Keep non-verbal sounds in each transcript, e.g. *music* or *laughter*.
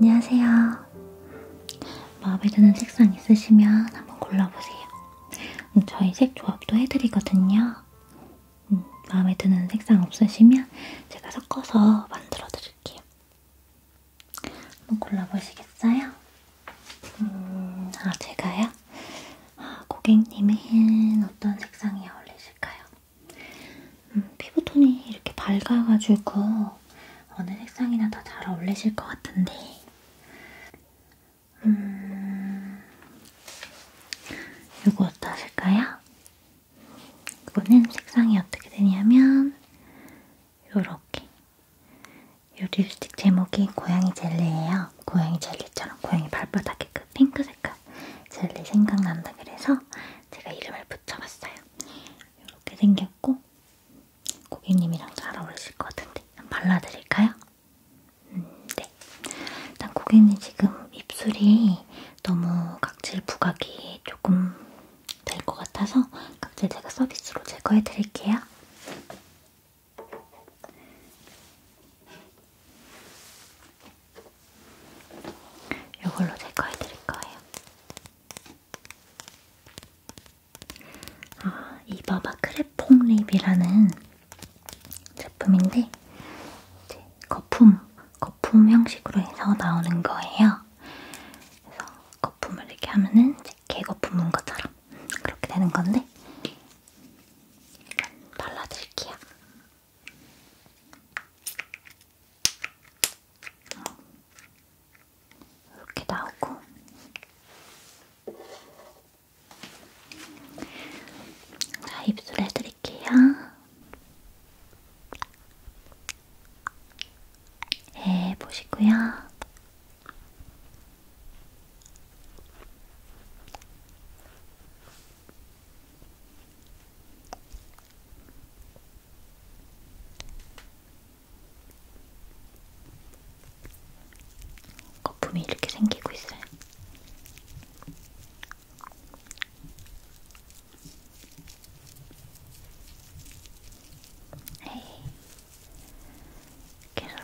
안녕하세요. 마음에 드는 색상 있으시면 한번 골라보세요. 음, 저희 색 조합도 해드리거든요. 음, 마음에 드는 색상 없으시면 제가 섞어서 만들어 드릴게요. 한번 골라보시겠어요? 음, 아, 제가요? 아, 고객님은 어떤 색상이 어울리실까요? 음, 피부톤이 이렇게 밝아가지고 어느 색상이나 다 잘 어울리실 것 같은데 음, 이거 어떠실까요? 이거는 색상이 어떻게 되냐면 요렇게 요 립스틱 제목이 고양이 젤리예요. 고양이 젤리처럼 고양이 발바닥에 그 핑크 색깔 젤리 생각난다 그래서 제가 이름을 붙여봤어요. 이렇게 생겼고 고객님이랑 잘 어울리실 것 같은데 한번 발라드릴까요? 음, 네. 일단 고객님 지금 입술이 너무 각질 부각이 조금 될 것 같아서 각질 제가 서비스로 제거해드릴게요. 이걸로 제거해드릴 거예요. 아, 이바바 크레퐁 립이라는 제품인데 이제 거품, 거품 형식으로 해서 나오는 거예요. 그래서 거품을 이렇게 하면은 이제 개거품 문 것처럼 그렇게 되는 건데 발라드릴게요. 이렇게 나오고 자, 입술에 해드릴게요. 예, 보시고요. 거품이 이렇게 생기고 있어요. 에이. 계속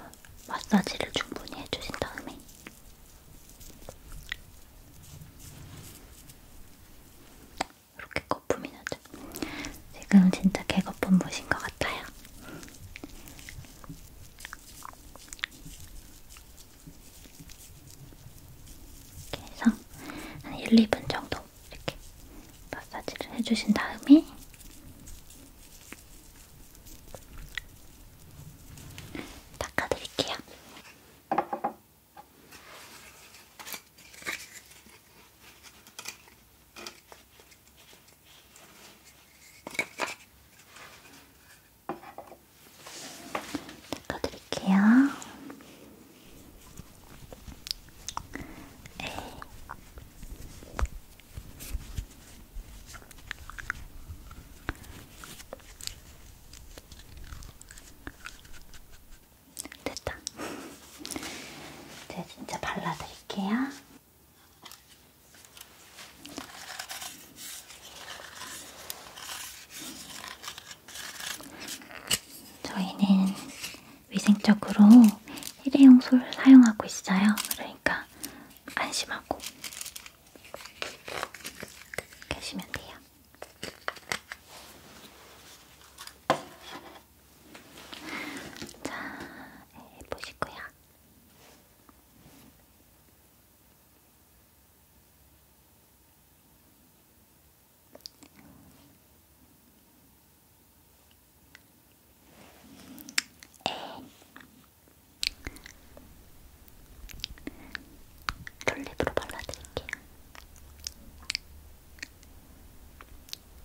마사지를 충분히 해주신 다음에 이렇게 거품이 나죠. 맞아. 지금 진짜 개거품 보신 것 같아요. 이렇게 해서 한 1, 2분 정도 이렇게 마사지를 해주신 다음에 닦아드릴게요. 닦아드릴게요. 네. 됐다. 이제 진짜 발라드릴게요. 저희는 위생적으로 일회용 솔을 사용하고 있어요. 그러니까 안심하고 하시면 돼요. 자, 예, 보시고요. 에 예. 롤립으로 발라드릴게요.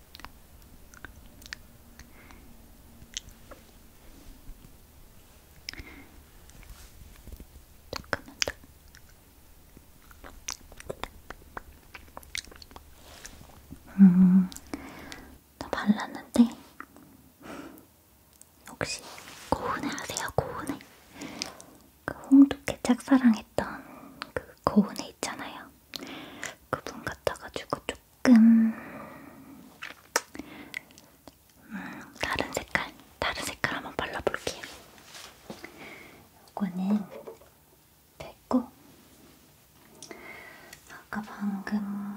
조금만 더. 음, 다 발랐는데 혹시 고은에 아세요? 고은에 그 홍두깨 짝사랑했던 그 고은에 있잖아요. 그분 같아가지고 조금 음, 다른 색깔, 다른 색깔 한번 발라볼게요. 이거는 뺐고 아까 방금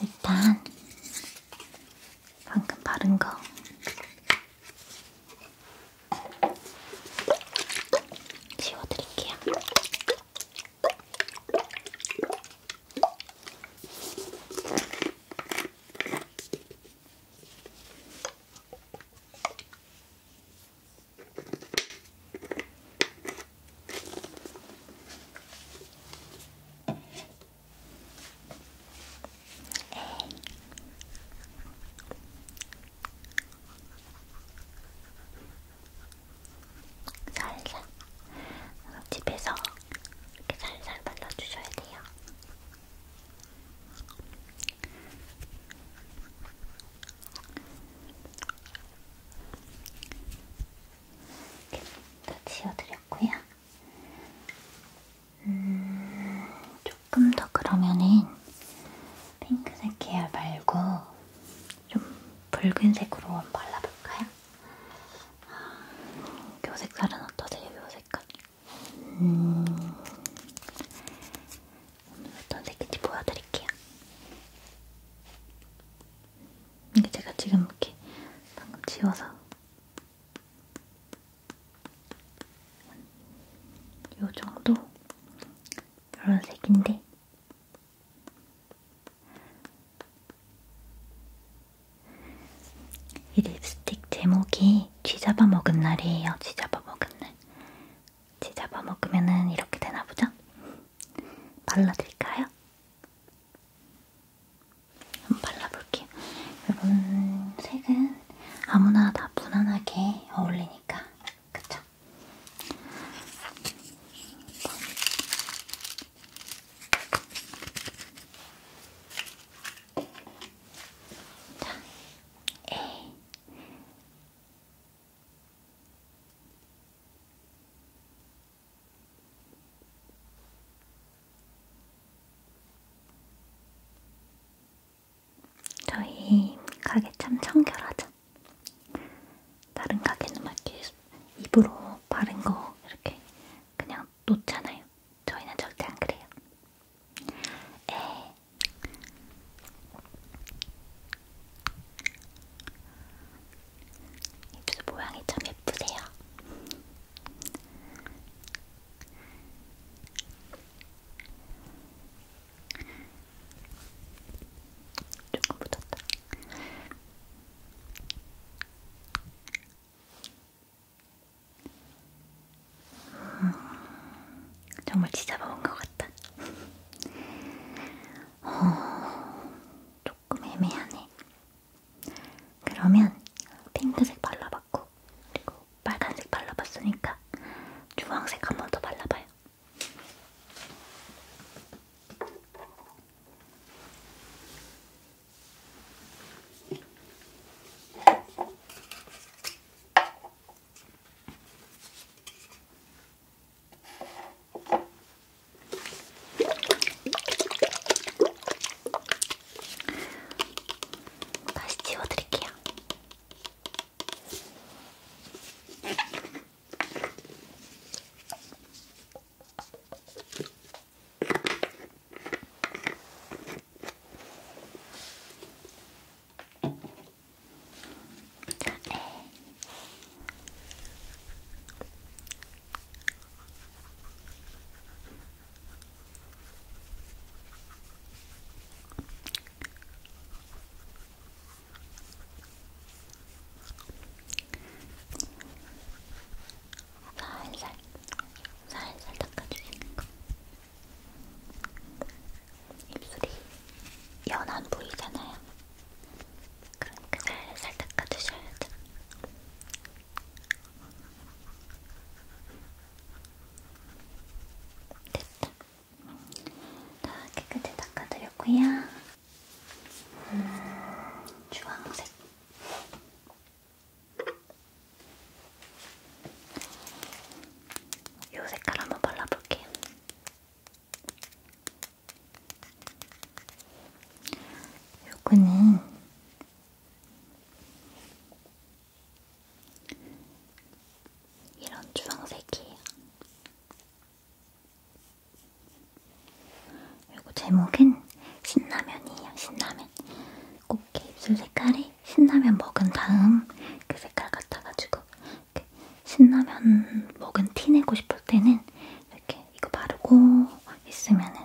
일단 방금 바른 거. 지워드릴게요. 살살 집에서 이렇게 살살 발라주셔야 돼요. 이렇게 다 지워드렸고요. 음, 조금 더 그러면은 핑크색 계열 말고 좀 붉은색으로 한번 발라볼까요? 아, 요 색깔은 어떠세요? 요 색깔? 음, 어떤 색인지 보여드릴게요. 이게 제가 지금 이렇게 방금 지워서 요 정도? 이런 색인데 이 립스틱 제목이 쥐잡아 먹은 날이에요. 쥐잡아 먹은 날. 쥐잡아 먹으면은 이렇게 되나 보죠? 발라드릴까요? 한번 발라볼게요. 이런 색은 아무나 다 무난하게 어울리니까, 그쵸? 자, A. 저희 가게 참 청결하죠? 다른 가게는 막 이렇게 입으로 바른 거 이렇게 그냥 놓잖아요. 저희는 절대 안 그래요. 에. 입술 모양이 참 예쁘세요. 조금 묻었다. 음, 어, 정말 지잡아본 것 같다. 어, 조금 애매하네. 그러면 핑크색 발라봤고 그리고 빨간색 발라봤으니까 주황색 한 번 더 발라봐요. 다시 지워드릴게요. 네. 살살, 살살 닦아주시는 거. 입술이 연한 부위잖아요. 그러니까 살살 닦아주셔야 돼. 됐다. 다 깨끗이 닦아드렸고요. 음, 주황색. 요 색깔 한번 발라볼게요. 요거는 이런 주황색이에요. 그리고 제목은 신라면이에요. 신라면. 꽃게 입술 색깔이 신라면 먹은 다음 그 색깔 같아가지고 신라면 먹은 티 내고 싶을 때는 이렇게 이거 바르고 있으면은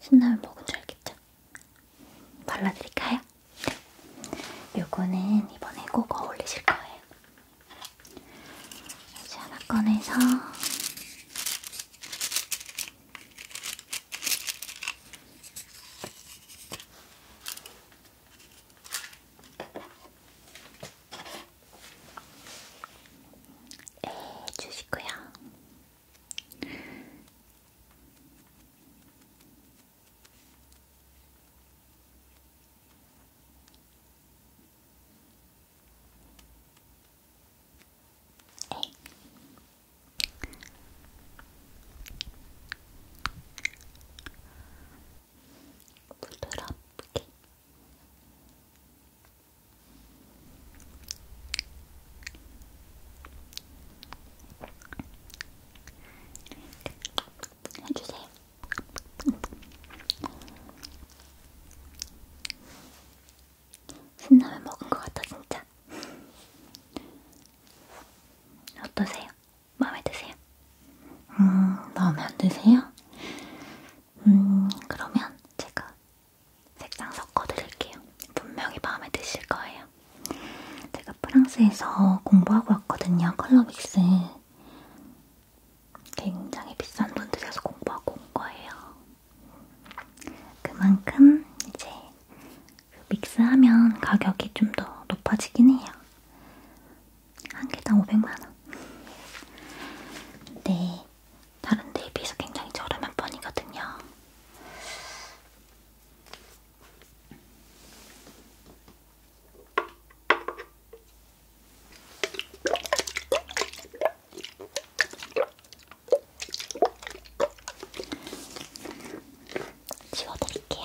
신라면 먹은 줄 알겠죠? 발라드릴까요? 네. 요거는 이번에 꼭 어울리실 거예요. 이제 하나 꺼내서 해 네, 주시고요. 부드럽게 해주세요. 신라면 먹은 것 같아 진짜. 어떠세요? 마음에 드세요? 음 마음에 안 드세요? 음 그러면 제가 색상 섞어드릴게요. 분명히 마음에 드실 거예요. 제가 프랑스에서 공부하고 왔거든요. 컬러 믹스. 굉장히 비싼 돈 들여서 공부하고 온 거예요. 그만큼 이제 그 믹스하면 가격이 좀 더 높아지긴 해요. 한 개당 500만원. 네, 다른 데에 비해서 굉장히 저렴한 편이거든요. 지워드릴게요.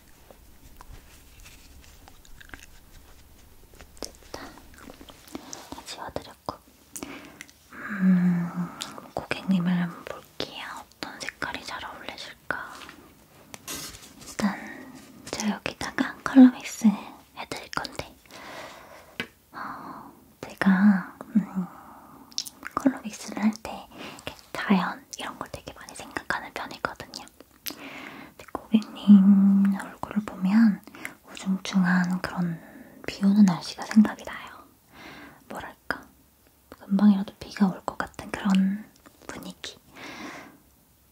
됐다. 다 지워드렸고. 음, 고객님을 한번 볼게요. 어떤 색깔이 잘 어울리실까? 일단 제가 여기다가 컬러 믹스 해드릴 건데 어, 제가 음, 컬러 믹스를 할 때 자연 이런 걸 되게 많이 생각하는 편이거든요. 고객님 얼굴을 보면 우중충한 그런 비 오는 날씨가 생각이 나요. 뭐랄까, 금방이라도 비가 올 것 같은 그런 분위기.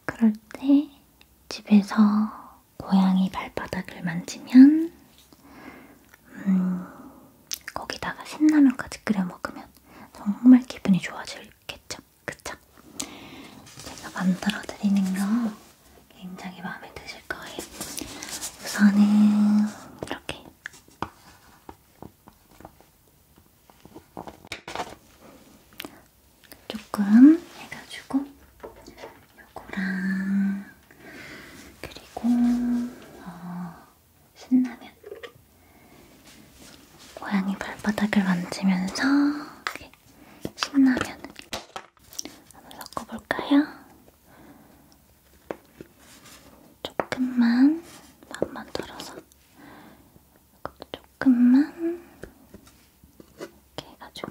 그럴 때 집에서 고양이 발바닥을 만지면, 음, 거기다가 신라면까지 끓여 먹으면 정말 기분이 좋아지겠죠. 그쵸? 제가 만들어드리는 거 굉장히 마음에 드실 거예요. 우선은 이렇게 조금 해가지고 요거랑 그리고 어, 신라면 고양이 발바닥을 만지면서 신나면 한번 섞어볼까요? 조금만 반만 털어서 이것도 조금만 이렇게 해가지고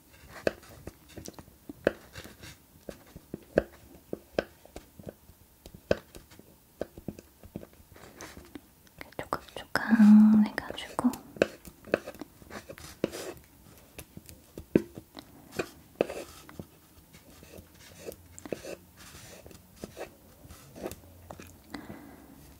조각조각해가지고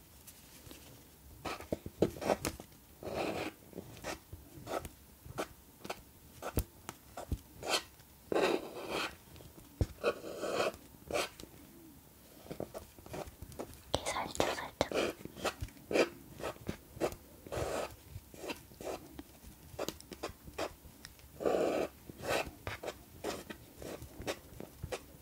이렇게 살짝 살짝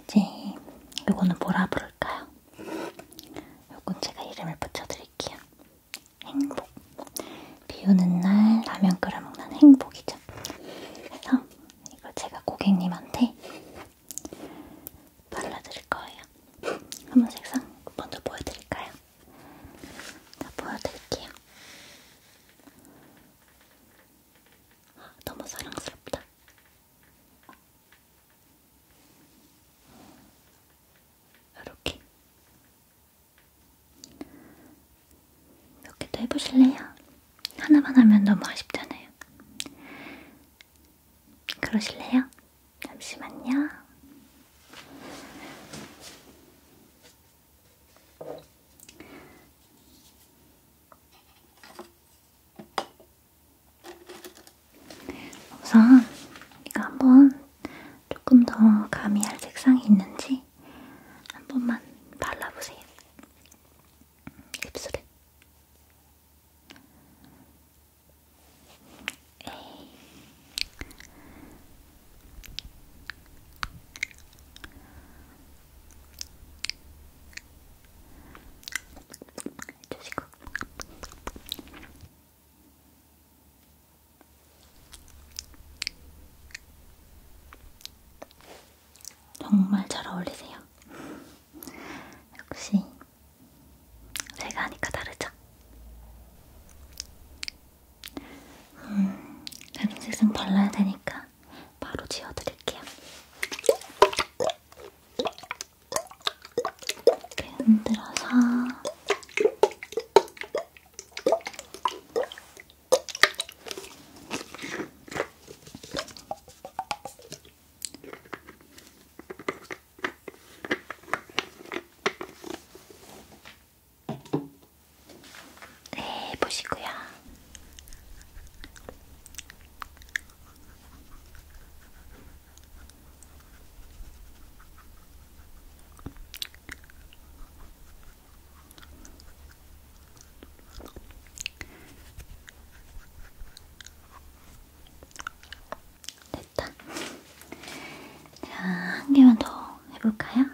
이제 요거는 뭐라 부를까요? 요건 제가 이름을 붙여드릴게요. 행복. 비 오는 날 라면 끓여 먹는 행복이죠. 그래서 이걸 제가 고객님한테 발라드릴 거예요. 한번 색상 먼저 보여드릴까요? 자, 보여드릴게요. 너무 사랑스럽다. 이렇게. 이렇게도 해보실래요? 하나만 하면 너무 아쉽잖아요. 그러실래요? 잠시만요. 우선 이거 한번 조금 더 가미할 색상이 있는지 한 번만 발라보세요. 입술에. 에이. 해주시고. 정말 잘 어울리세요. 역시 제가 하니까 다르죠? 음, 다른 색상 발라야 되니까 바로 지워드릴게요. 이렇게 흔들어서 네, 보시고요. 네, 좋다. 자, 한 개만 더 해볼까요?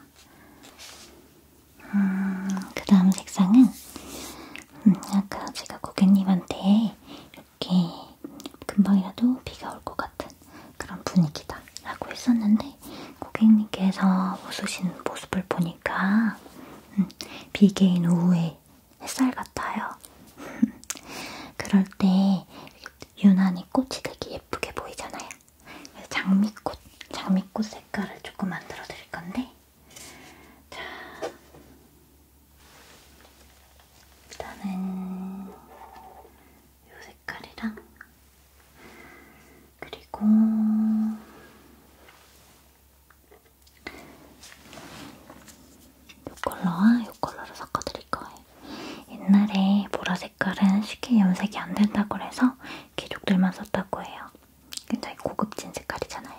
음, 그 다음 색상은 음, 아까 제가 고객님한테 이렇게 금방이라도 비가 올 것 같은 그런 분위기다 라고 했었는데 고객님께서 웃으신 모습을 보니까 음, 비개인 오후에 햇살 같아요. *laughs* 그럴 때 유난히 꽃이 되게 예쁘게 보이잖아요. 그래서 장미꽃, 장미꽃 색깔을 조금 만들어 드릴 건데, 자, 일단은 이 색깔이랑 그리고 이 컬러와 이 컬러를 섞어 드릴 거예요. 옛날에 보라 색깔은 쉽게 염색이 안 된다고 해서 귀족들만 썼다고 해요. 굉장히 고급진 색깔이잖아요.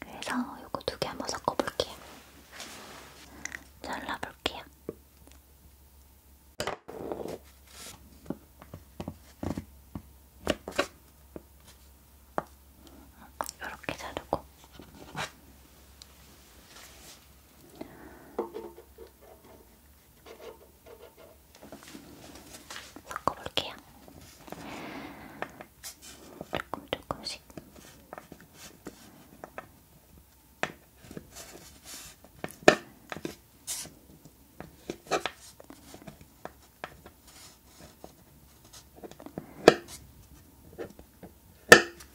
그래서 요거 두 개 한번 섞어볼게요. 잘라볼게요. 이렇게 자르고 섞어볼게요.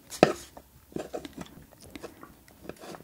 조금 조금씩.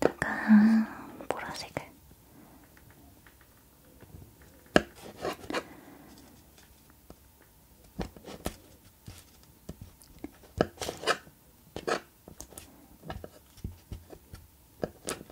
약간 보라색을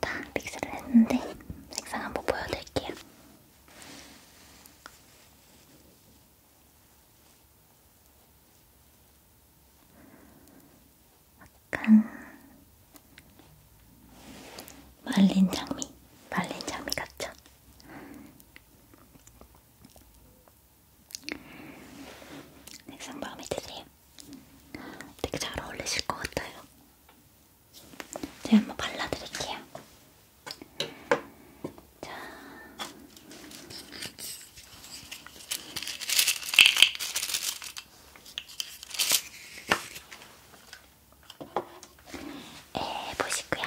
다 믹스를 했는데 색상 한번 보여드릴게요. 약간 말린 장미, 말린 장미 같죠? 색상 마음에 드세요? 되게 잘 어울리실 것 같아요. 제가 한번 발라드릴게요. 자. 에 보시고요.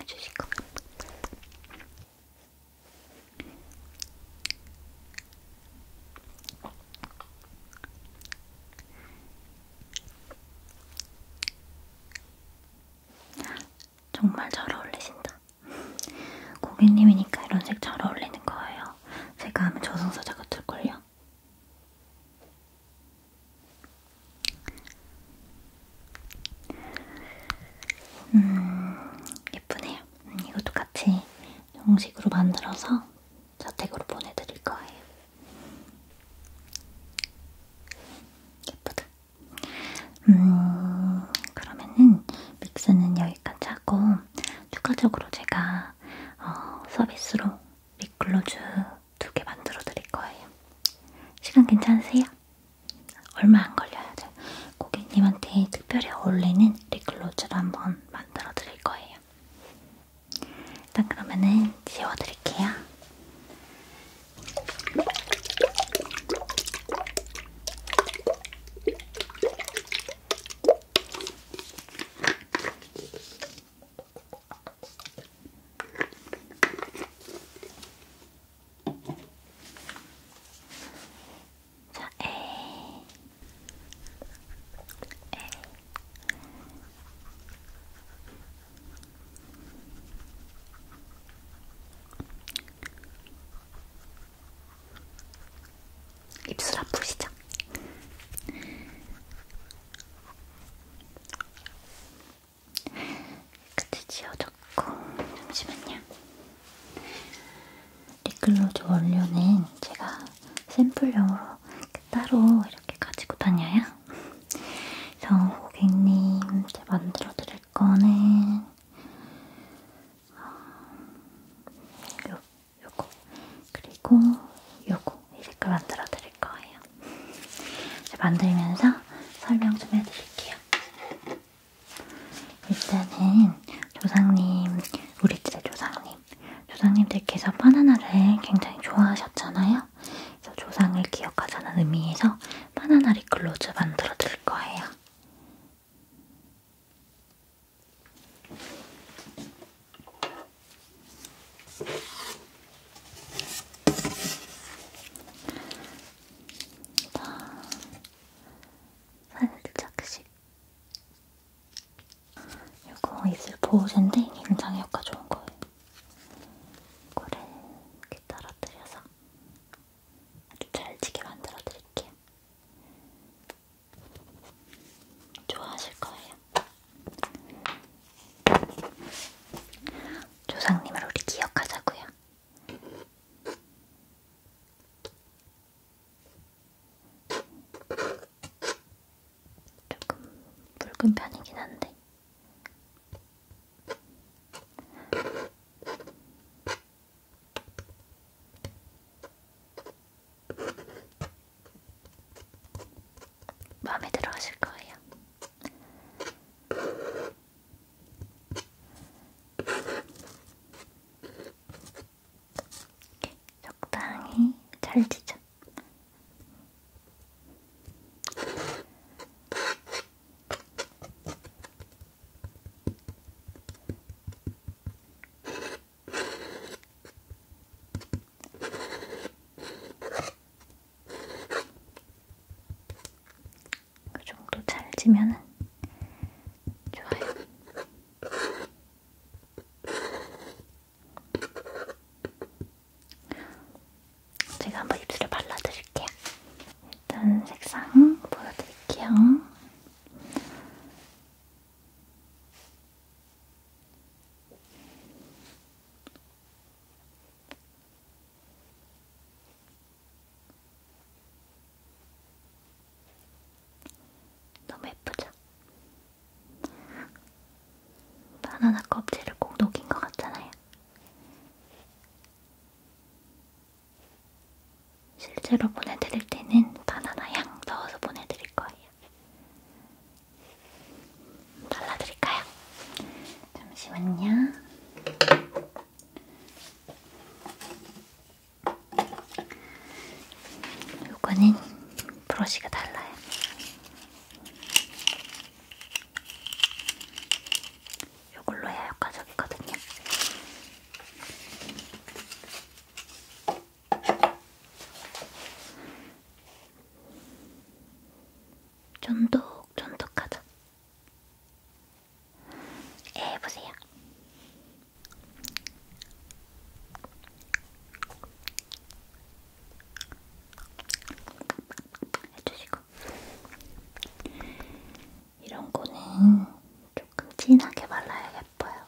해주시고 정말 잘 어울리신다. 고객님이니까 이런 색 잘 어울리는 거예요. 제가 하면 저승사자 같을걸요? 음, 예쁘네요. 음, 이것도 같이 정식으로 만들어서 자택으로 보내드릴 거예요. 예쁘다. 음, 그러면은 믹스는 여기까지 하고 추가적으로 제가 어, 서비스로 립글로즈 두개 만들어 드릴 거예요. 시간 괜찮으세요? 얼마 안 걸려요. 고객님한테 특별히 어울리는 립글로즈를 한번 만들어 드릴 거예요. 일단 그러면은 지워 드릴게요. 자, 에이. 에이. 입술 아프시죠? 끝에 지어줬고 잠시만요. 립글로즈 원료는 제가 샘플용으로 따로 이렇게 가지고 다녀요. 그래서 고객님 제가 만들어 드릴 거는 어, 요 요거 그리고 요거 이렇게 만들어 드릴 거예요. 만들면서 설명 좀 해드릴게요. 일단은 조상님, 우리들의 조상님, 조상님들께서 바나나를 굉장히 좋아하셨잖아요. 그래서 조상을 기억하자는 의미에서 바나나 립글로즈 만들어 드릴 거예요. 살짝씩 이거 입술 보호제인데 굉장히 효과 좋은 거예요. 이거를 이렇게 떨어뜨려서 아주 잘지게 만들어 드릴게요. 좋아하실 거예요. 조상님을 우리 기억하자고요. 조금 붉은 편이긴 한데. 마음에 들어 하실 거예요. 이렇게 적당히 잘지죠. 그 정도 찰지면은 좋아요. 제가 한번 입술에 발라드릴게요. 일단 색상 보여드릴게요. 너무 예쁘죠? 바나나 껍질을 꼭 녹인 것 같잖아요. 실제로 보내드릴 때는 바나나 향 넣어서 보내드릴 거예요. 발라드릴까요? 잠시만요. 요거는 브러쉬가 달라요. 요걸로 해야 효과적이거든요. 쫀득쫀득하다. 해보세요. 예, 해주시고 이런 거는 조금 진하게 발라야 예뻐요.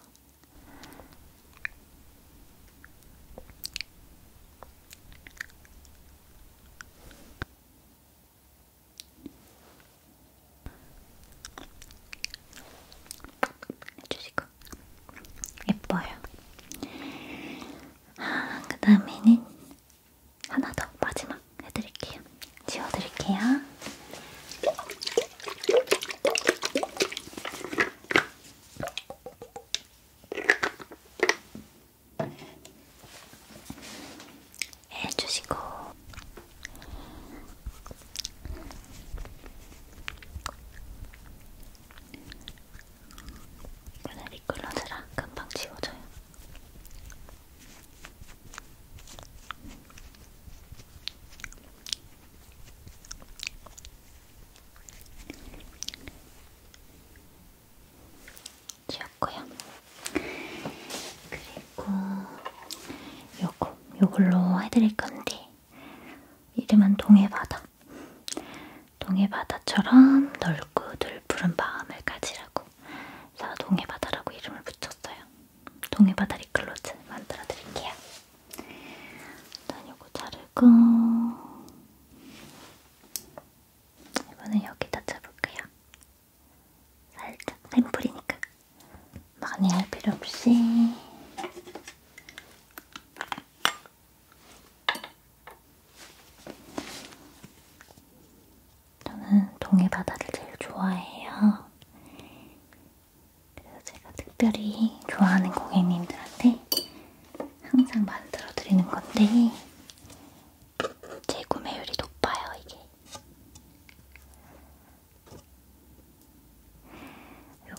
주시고 예뻐요. 아, 그 다음에는 하나 더 마지막 해드릴게요. 지워드릴게요. 해주시고 오늘 미끌러져라 금방 지워져요. 지웠고요. 그리고 요거, 요걸로 해드릴 건데 이름은 동해바다. 동해바다처럼 넓고 늘푸른 마음을 가지라고 그래서 동해바다라고 이름을 붙였어요. 동해바다 리클로즈 만들어 드릴게요. 일단 요거 자르고 그리고 이번엔 여기다 쳐볼게요. 살짝 샘플이니까 많이 할 필요 없이 저는 동해 바다를 제일 좋아해요. 그래서 제가 특별히 좋아하는 고객님들한테 항상 만들어 드리는 건데 제 구매율이 높아요 이게 요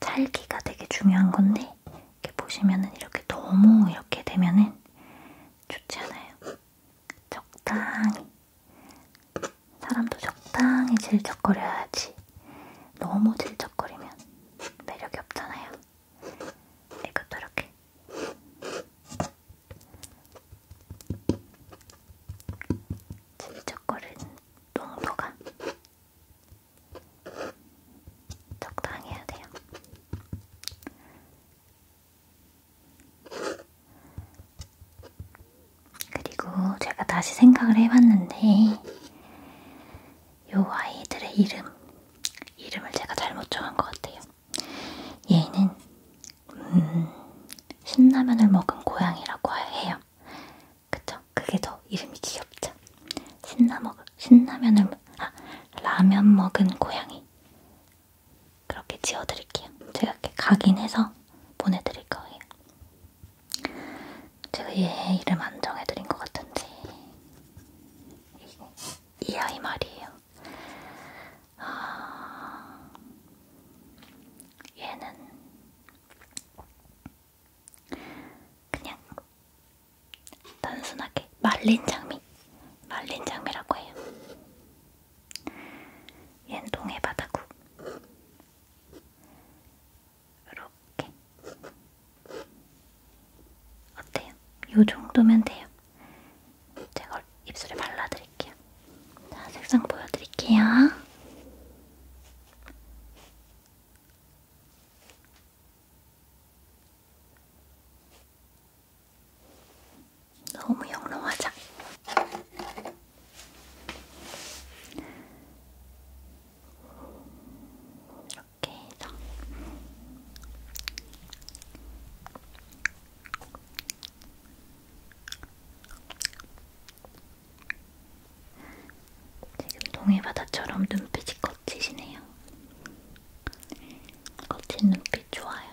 찰기가 되게 중요한 건데 이렇게 보시면은 이렇게 너무 이렇게 되면은 좋지 않아요 적당히 사람도 적당히 질척거려야지 너무 들쩍거리면 매력이 없잖아요. 이것도 이렇게 들쩍거리는 농도가 적당해야 돼요. 그리고 제가 다시 생각을 해봤는데 요 아이들의 이름, 이름을 제가 잘못 정한 것 같아요. 얘는 음, 신라면을 먹은 고양이라고 해요. 그쵸? 그게 더 이름이 귀엽죠? 신라 먹, 신라면을, 아, 라면 먹은 고양이. 그렇게 지어드릴게요. 제가 이렇게 각인해서 보내드릴 거예요. 제가 얘 이름 안 정해드린 것 같은데 이, 이 아이 말이에요. 아, 얘는 그냥 단순하게 말린 장미, 말린 장미라고 해요. 얜 동해바다구 이렇게 어때요? 이 정도면 돼요. 제가 입술에 발라드릴게요. 자, 색상 보여드릴게요. 너무 영롱하죠? 이렇게 해서 지금 동해바다처럼 눈빛이 거치시네요. 거친 눈빛 좋아요.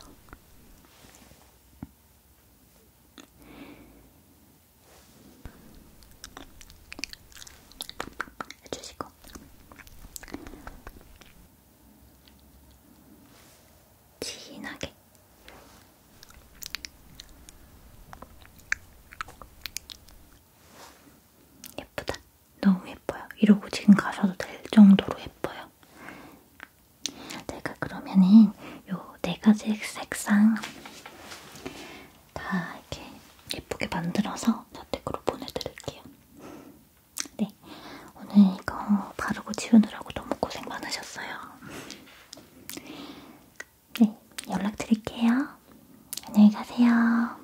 해주시고 진하게 예쁘다. 너무 예뻐요. 이러고 지금 가셔도 될 정도로 예뻐요. 내가 그러면은 요네 가지 색상 다 이렇게 예쁘게 만들어서 저택으로 보내드릴게요. 네, 오늘 이거 바르고 지우느라고 너무 고생 많으셨어요. 네, 연락드릴게요. 안녕히 가세요.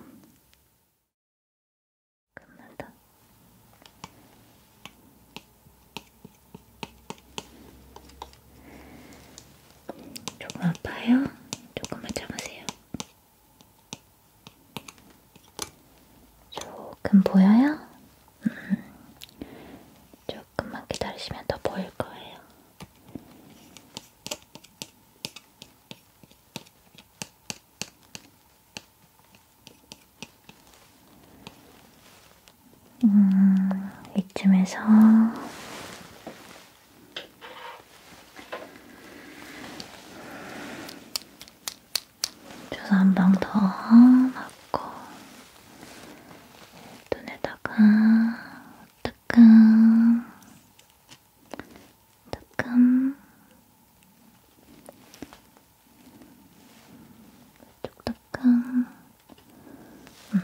끝났다. 조금 아파요? 조금만 참으세요. 조금 보여요? 음. 조금만 기다리시면 더 보일 거예요. 음, 이쯤에서 주사 한 방 더 맞고 눈에다가 뜨끔 뜨끔 쪽 뜨끔 음.